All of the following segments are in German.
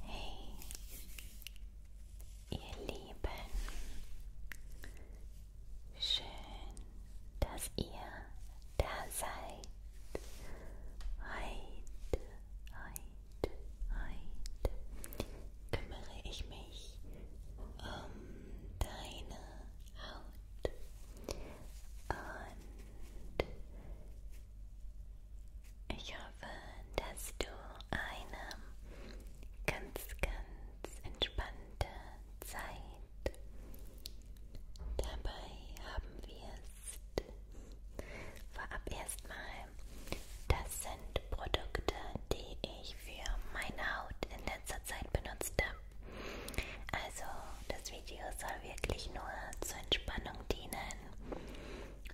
Hey, ihr Lieben, schön, dass ihr da seid. Heute, heute, heute kümmere ich mich um deine Haut. Und ich hoffe, dass du eine ganz, ganz entspannte Zeit dabei haben wirst. Vorab erstmal, das sind Produkte, die ich für meine Haut in letzter Zeit benutzt habe. Also das Video Video soll wirklich nur zur Entspannung dienen.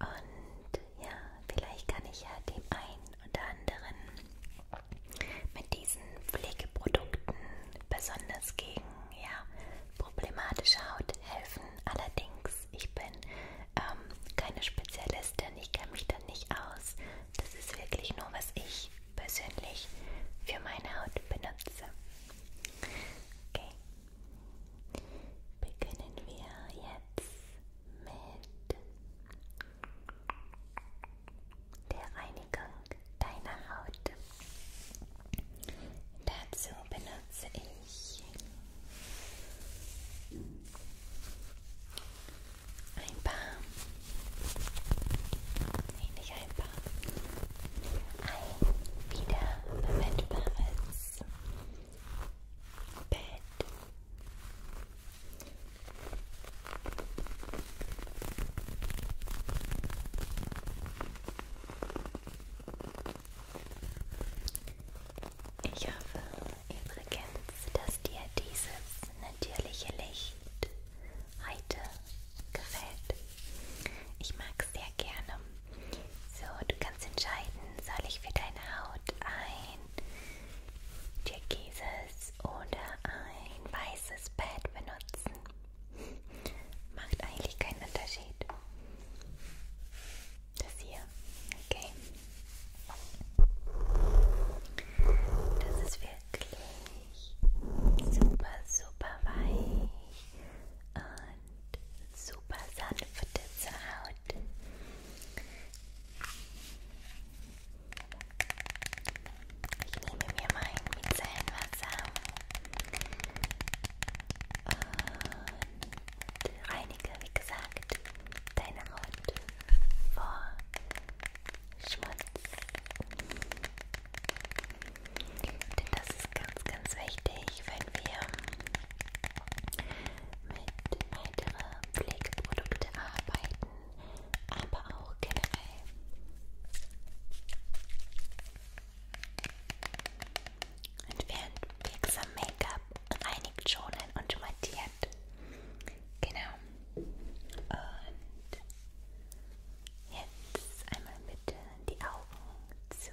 Und ja, vielleicht kann ich ja dem einen oder anderen mit diesen Pflegeprodukten besonders gegen ja, problematische Haut helfen. Allerdings, ich bin ähm, keine Spezialistin, ich kenne mich da nicht aus. Das ist wirklich nur, was ich persönlich für meine Haut benutze. Okay. Beginnen wir jetzt mit der Reinigung deiner Haut. Dazu benutze ich ein paar, ähnlich ein ein wiederverwendbares Bett. Ich hoffe übrigens, dass dir dieses natürliche Licht heute gefällt. Ich mag es sehr gerne. So, du kannst entscheiden, soll ich für deine Haut ein türkises oder ein weißes Pad benutzen. Macht eigentlich keinen Unterschied. Das hier. Okay. Das ist wirklich super, super weich und super sanfte zur Haut. Ich nehme mir mein Micellenwasser und reinige, wie gesagt, deine Haut vor Schmutz. Denn das ist ganz, ganz wichtig, wenn wir mit weiteren Pflegeprodukten arbeiten, aber auch generell. Und während wirksam Make-up reinigt, schonen und mattiert. Genau. Und Jetzt einmal bitte die Augen zu.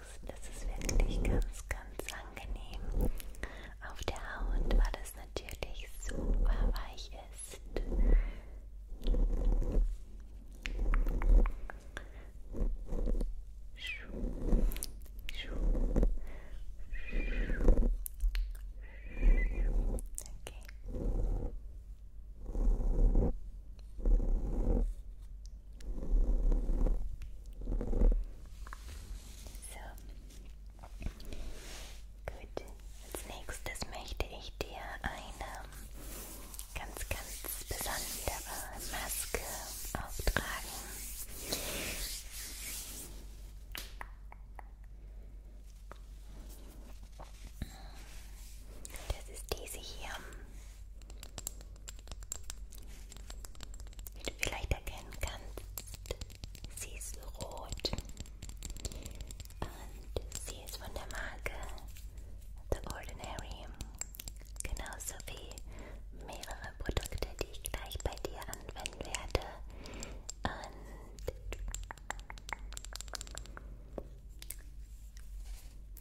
magst. Das ist wirklich ganz, ganz angenehm. Auf der Haut, weil das natürlich super weich ist. Okay. So. Gut. Als nächstes möchte ich dir eine ganz, ganz besondere Maske auftragen. Das ist diese hier. Wie du vielleicht erkennen kannst, sie ist rot und sie ist von der Marke The Ordinary. Genauso wie mehrere Produkte, die ich gleich bei dir anwenden werde. Und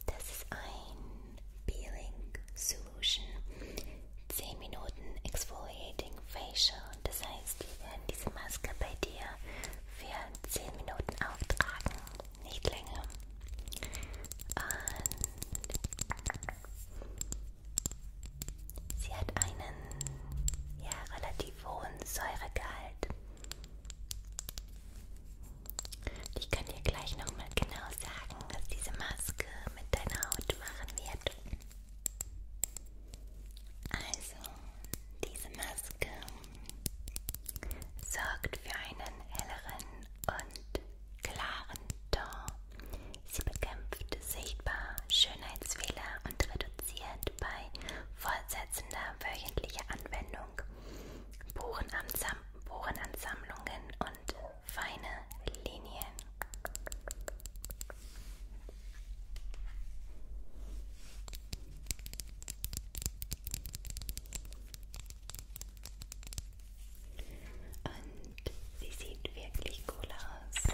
das ist ein Peeling Solution. 10 Minuten Exfoliating Facial. Das heißt, wir werden diese Maske bei dir für 10 Minuten auftragen. Nicht länger. Und sie hat einen ja, relativ hohen Säuregehalt. Ich kann dir gleich nochmal genau sagen, was diese Maske mit deiner Haut machen wird. Also, diese Maske sorgt für einen helleren und klaren Ton. Sie bekämpft sichtbar Schönheitsfehler und reduziert bei fortsetzender wöchentlicher Anwendung Buchenansammlungen und feine Linien. Und sie sieht wirklich cool aus.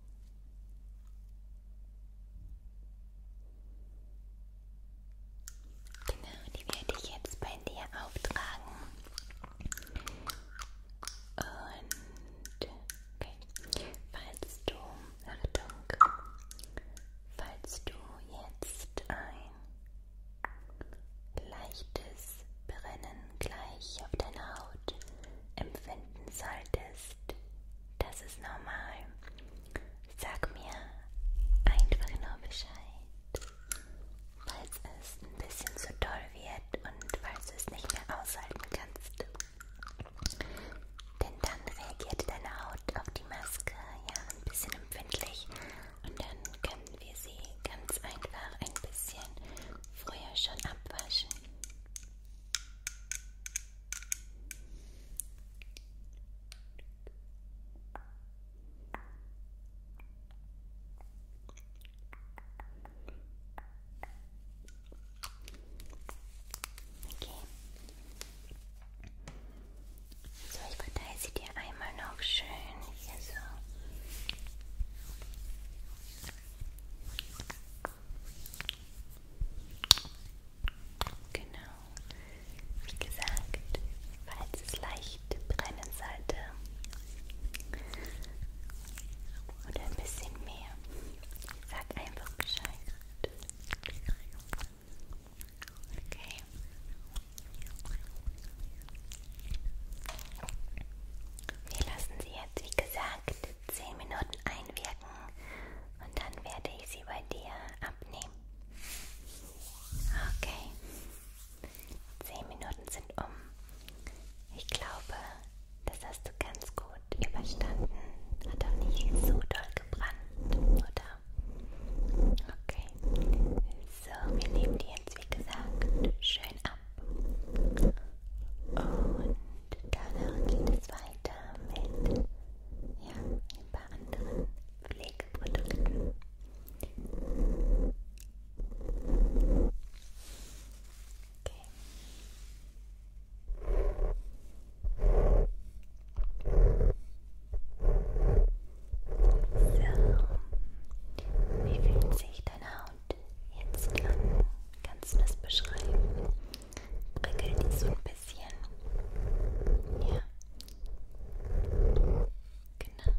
Genau, die werde ich jetzt bei dir auftragen. Und okay. falls du, Achtung, falls du jetzt ein leichtes Brennen gleich auf deiner Haut empfinden solltest, bist. Das ist normal. Sag mir einfach nur Bescheid, falls es ein bisschen zu doll wird und falls du es nicht mehr aushalten kannst. Denn dann reagiert deine Haut auf die Maske ja ein bisschen empfindlich und dann können wir sie ganz einfach ein bisschen früher schon abwaschen. Okay. So, ich verteile sie dir einmal noch schön hier so. Genau. Wie gesagt, falls es leicht brennen sollte oder ein bisschen mehr, sag einfach Bescheid. Okay. Wir lassen sie jetzt, wie gesagt, 10 Minuten einwirken und dann werde ich sie bei dir abnehmen. Okay. 10 Minuten sind um. Ich glaube, das hast du ganz gut überstanden. Hat auch nicht so doll gebrannt, oder? Okay. So, wir nehmen die jetzt, wie gesagt, schön ab. Und danach geht es weiter weiter mit ja, ein paar anderen Pflegeprodukten. Okay. So, wie fühlt sich deine Haut jetzt an? Kannst du das beschreiben? prickelt die so ein bisschen. Ja. Genau.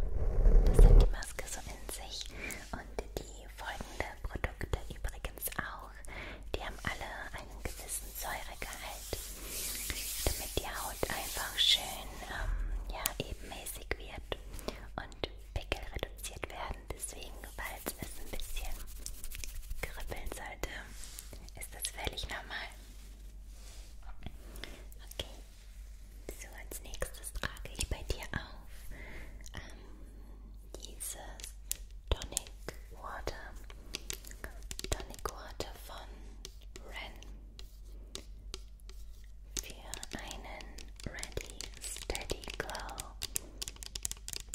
Das hat die Maske so in sich. Und die folgenden Produkte übrigens auch. Die haben alle einen gewissen Säuregehalt, damit die Haut einfach schön ähm, ja, ebenmäßig wird und Pickel reduziert werden. Deswegen, falls es ein bisschen kribbeln sollte, ist das völlig normal. Okay. So, als nächstes trage ich bei dir auf ähm, dieses Tonic Water. Tonic Water von Ren. Für einen Ready Steady Glow.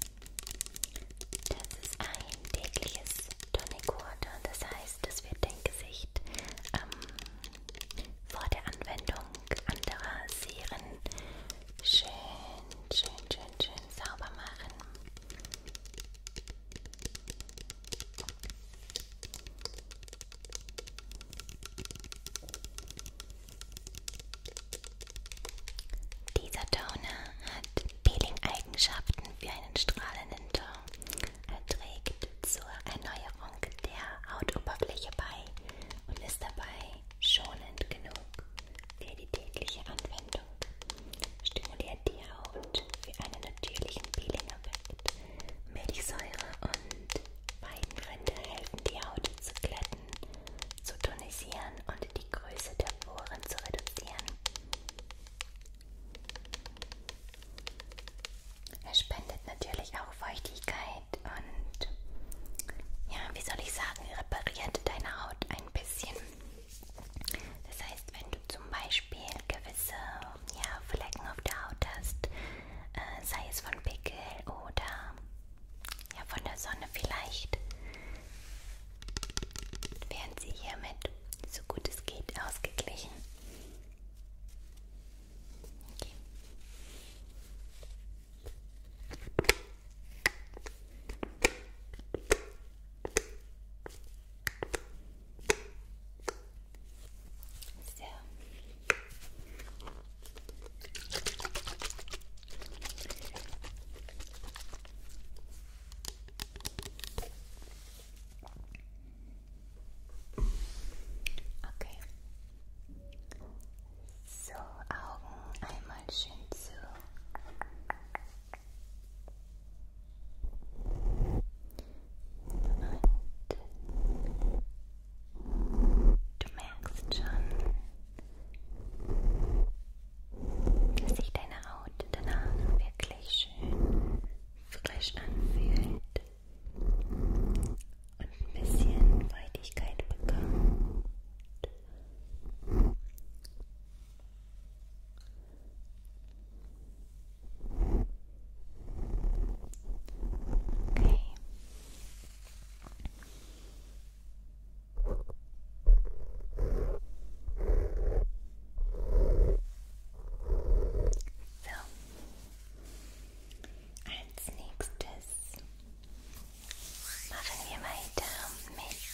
Das ist ein tägliches Tonic Water, das heißt, es wird dein Gesicht ähm, vor der Anwendung anderer Serien schön, schön, schön, schön sauber machen. Dieser Toner hat Peeling-Eigenschaften wie einen strahlenden Ton. Er trägt zur Erneuerung der Hautoberfläche bei und ist dabei schonend genug für die tägliche Anwendung. Stimuliert die Haut für einen natürlichen Peeling-Effekt. Milchsäure und Weidenrinde helfen die Haut zu glätten zu tonisieren und die Größe der Poren zu reduzieren. Er spendet natürlich auch Feuchtigkeit und ja, wie soll ich sagen, repariert deine Haut ein bisschen. Das heißt, wenn du zum Beispiel gewisse ja, Flecken auf der Haut hast, äh, sei es von Pickel oder ja, von der Sonne vielleicht. Wären Sie hiermit so gut es geht ausgeglichen? Okay. So. Okay. So Augen einmal schön zu. Und du merkst schon, dass sich deine Haut danach wirklich schön frisch anfühlt und ein bisschen Feuchtigkeit bekommt. Okay. So. Als nächstes machen wir weiter mit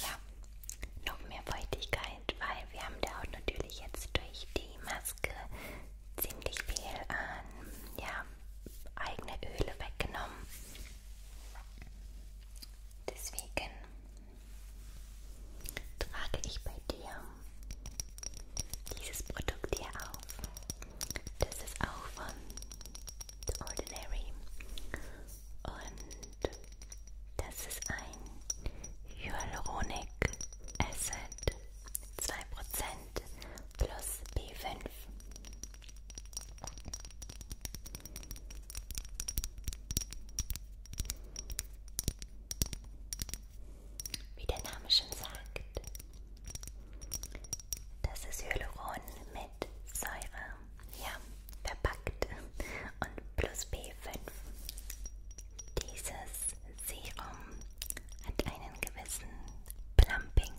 ja, noch mehr Feuchtigkeit, weil wir haben da auch natürlich jetzt durch die Maske ziemlich viel an ja, eigene Öle weggenommen. Deswegen trage ich bei dir dieses Produkt hier auf. Das ist auch von The Ordinary. Und das ist ein Hyaluronic Acid 2% plus B5. Wie der Name schon sagt, das ist Hyaluron mit Säure, ja, verpackt und plus B5. Dieses Serum hat einen gewissen Plumping,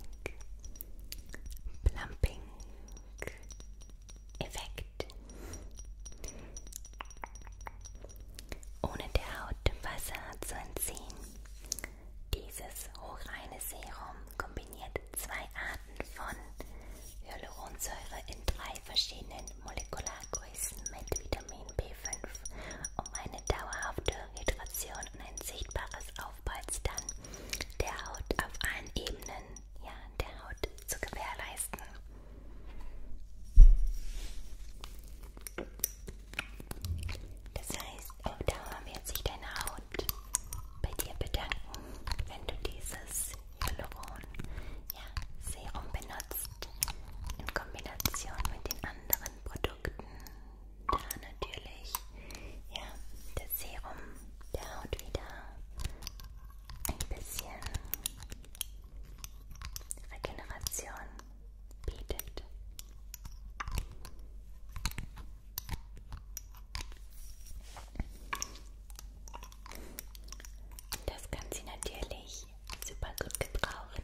Plumping Effekt. Ohne der Haut im Wasser zu entziehen. Dieses hochreine Serum kombiniert zwei Arten von Hyaluronsäure in drei verschiedenen Molekulargrößen mit Vitamin B5, um eine dauerhafte Hydration und ein sichtbares Aufpolstern der Haut auf allen Ebenen, ja, der Haut zu gewährleisten. Das heißt, auf Dauer wird sich deine Haut bei dir bedanken, wenn du dieses Hyaluron, ja, Serum benutzt in Kombination mit den anderen Produkten, ja, natürlich. Ja, das Serum der Haut wieder ein bisschen Regeneration bietet. Das kann sie natürlich super gut gebrauchen.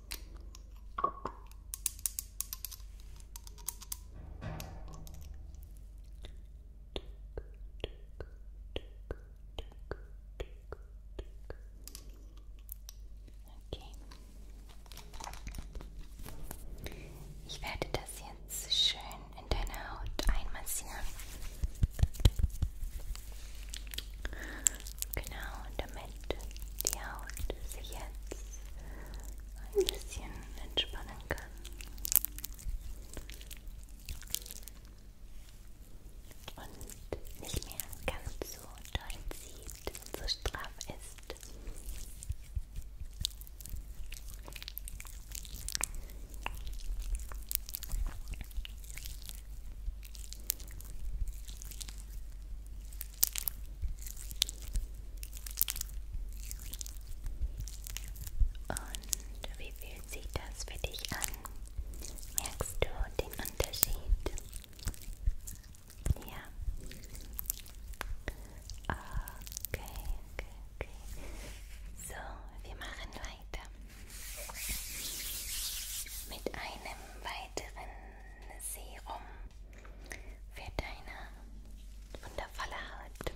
Okay. Ich werde das jetzt schön in deine Haut einmassieren. Genau, damit Halt die Haut sich jetzt ein bisschen entspannen kann. Und nicht mehr ganz so doll zieht und so straff ist. Und wie fühlt sich das für dich an? Merkst du den Unterschied? Ja. Okay, okay, okay. So, wir machen weiter mit einem weiteren Serum für deine wundervolle Haut.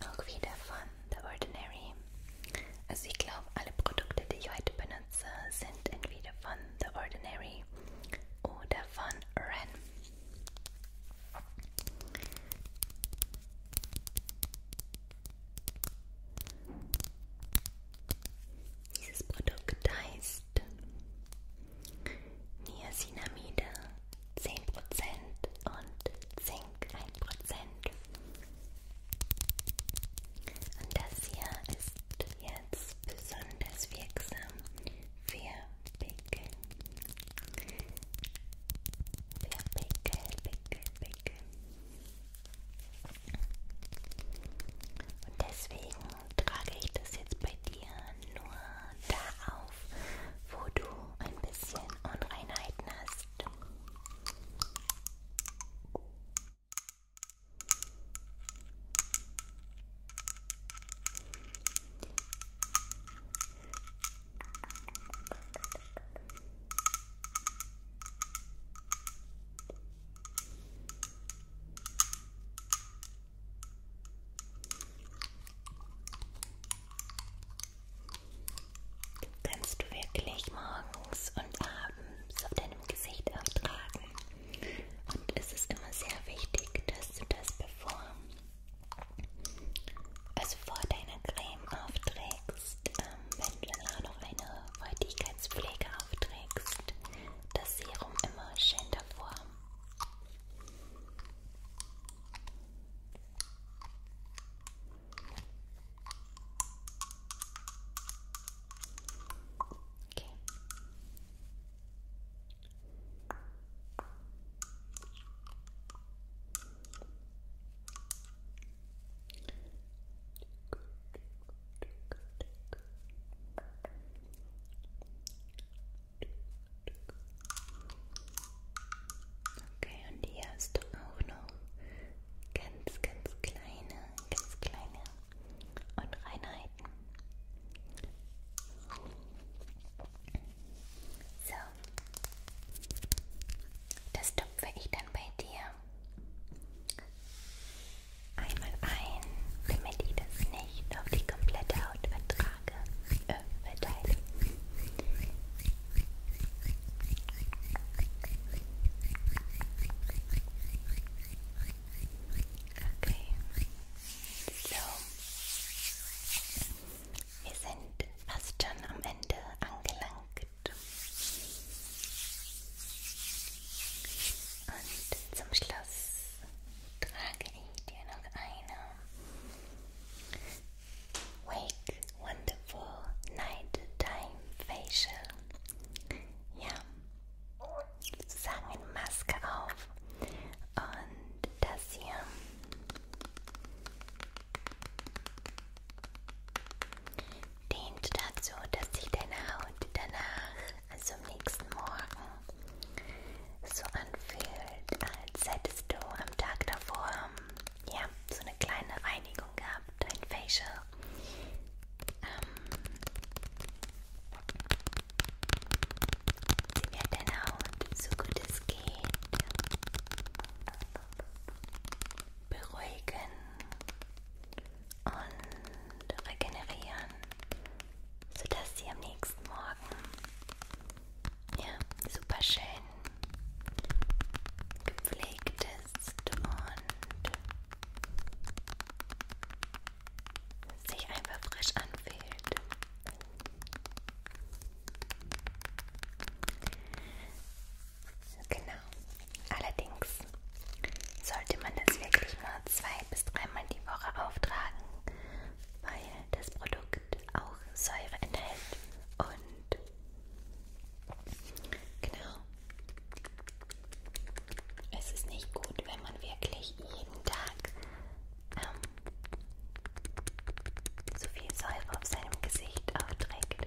Auch wieder von The Ordinary. Also ich glaube, alle Produkte, die ich heute benutze, sind entweder von The Ordinary oder von Ren. Dieses Produkt heißt ist Niacinamide 10% und Zink 1%. Und das hier ist jetzt besonders wirksam für Pickel. Für Pickel, Pickel, Pickel. Und deswegen trage ich das jetzt bei dir nur da auf, wo du ein bisschen Unreinheiten hast. Okay. Kannst du wirklich morgens und abends auf deinem Gesicht auftragen. Und es ist immer sehr wichtig, dass du das bevor, also vor deiner Creme aufträgst, ähm, wenn du danach noch eine Feuchtigkeitspflege aufträgst, das Serum immer schön davor. Okay. Gut, gut, gut, gut. Okay, und hier hast du auch noch ganz, ganz kleine, ganz kleine Unreinheiten. So, das tupfe ich dann bei dir einmal ein, damit ich das nicht auf die komplette Haut vertrage, äh, verteile. Okay, so. Wir sind fast schon am Ende angelangt. Und zum Schluss trage ich dir noch eine Wake Wonderful Night Time Facial. Ja, sozusagen eine Maske auf. Und das hier dient dazu, dass sich deine Haut danach also am nächsten Morgen so anfühlt, als hättest du am Tag davor ja, so eine kleine Reinigung gehabt, ein Facial. Ähm, wird deine Haut so gut es geht beruhigen und regenerieren, sodass sie am nächsten Morgen ja, super schön gepflegt ist und sich einfach frisch anfühlt. Genau. Allerdings sollte man das wirklich mal zwei bis dreimal die Woche auftragen, weil das Produkt auch Säure enthält und genau. Es ist nicht gut, wenn man wirklich jeden Tag ähm, so viel Säure auf seinem Gesicht aufträgt.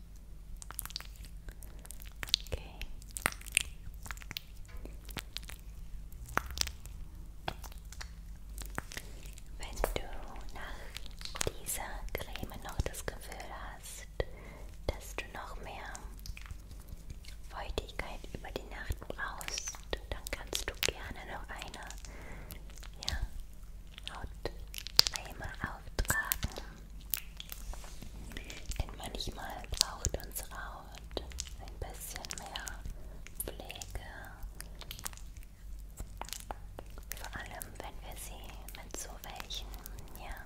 Okay. Wenn du nach dieser Creme noch das Gefühl hast, dass du noch mehr Feuchtigkeit über die Nacht brauchst, dann kannst du gerne noch eine ja, Hautcreme auftragen. Denn manchmal braucht unsere Haut ein bisschen mehr Pflege. Vor allem, wenn wir sie mit so welchen, ja,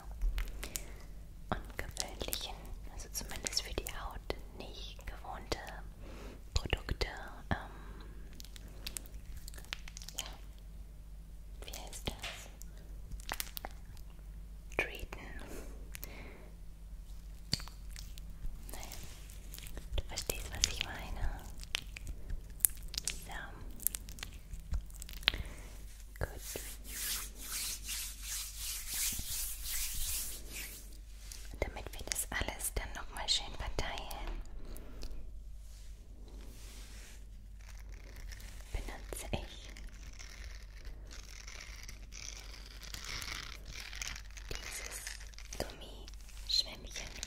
ungewöhnlichen, also zumindest für die Haut nicht gewohnte Produkte, ähm, ja, wie heißt das? Treaten. Naja, du verstehst, was ich meine. So. Gut. Und damit wir das alles dann nochmal schön verteilen, benutze ich dieses Gummischwämmchen.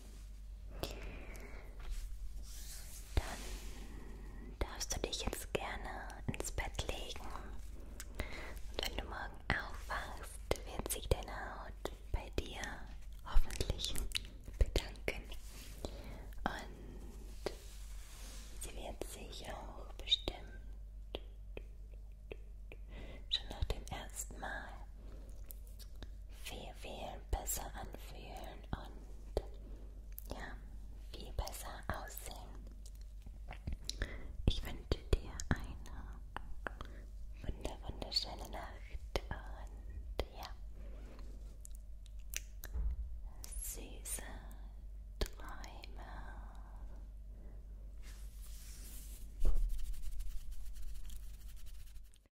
Dann darfst du dich jetzt gerne ins Bett legen. Und wenn du morgen aufwachst, wird sich deine Haut bei dir hoffentlich bedanken. Und sie wird sich auch bestimmt schon nach dem ersten Mal viel, viel besser anfühlen und ja, viel besser aussehen. Ich wünsche dir eine wunder, wunderschöne Nacht und ja, süße Träume.